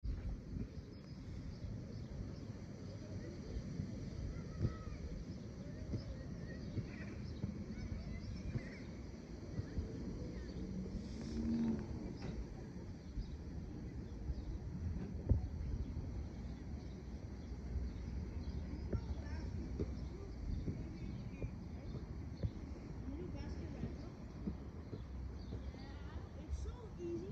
It's so easy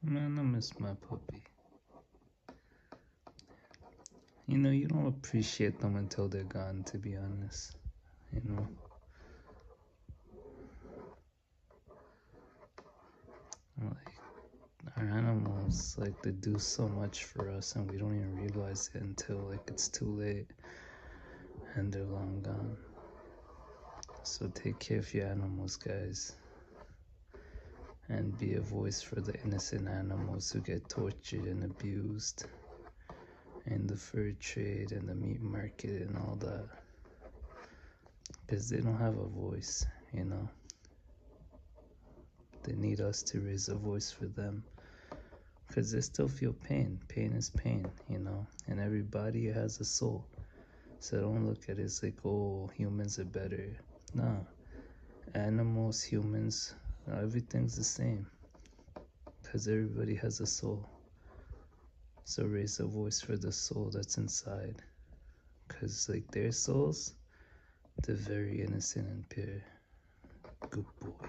Man, I miss my puppy. You know, you don't appreciate them until they're gone, to be honest. You know? Like, our animals, like, they do so much for us, and we don't even realize it until, like, it's too late and they're long gone. So take care of your animals, guys and be a voice for the innocent animals who get tortured and abused in the fur trade and the meat market and all that because they don't have a voice you know they need us to raise a voice for them because they still feel pain pain is pain you know and everybody has a soul so don't look at it it's like, oh, humans are better. Nah, animals, humans, everything's the same. Because everybody has a soul. So raise a voice for the soul that's inside. Because, like, their souls, they're very innocent and pure. Good boy.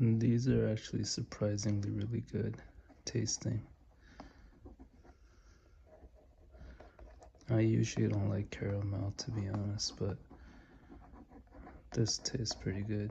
And these are actually surprisingly really good tasting. I usually don't like caramel to be honest, but this tastes pretty good.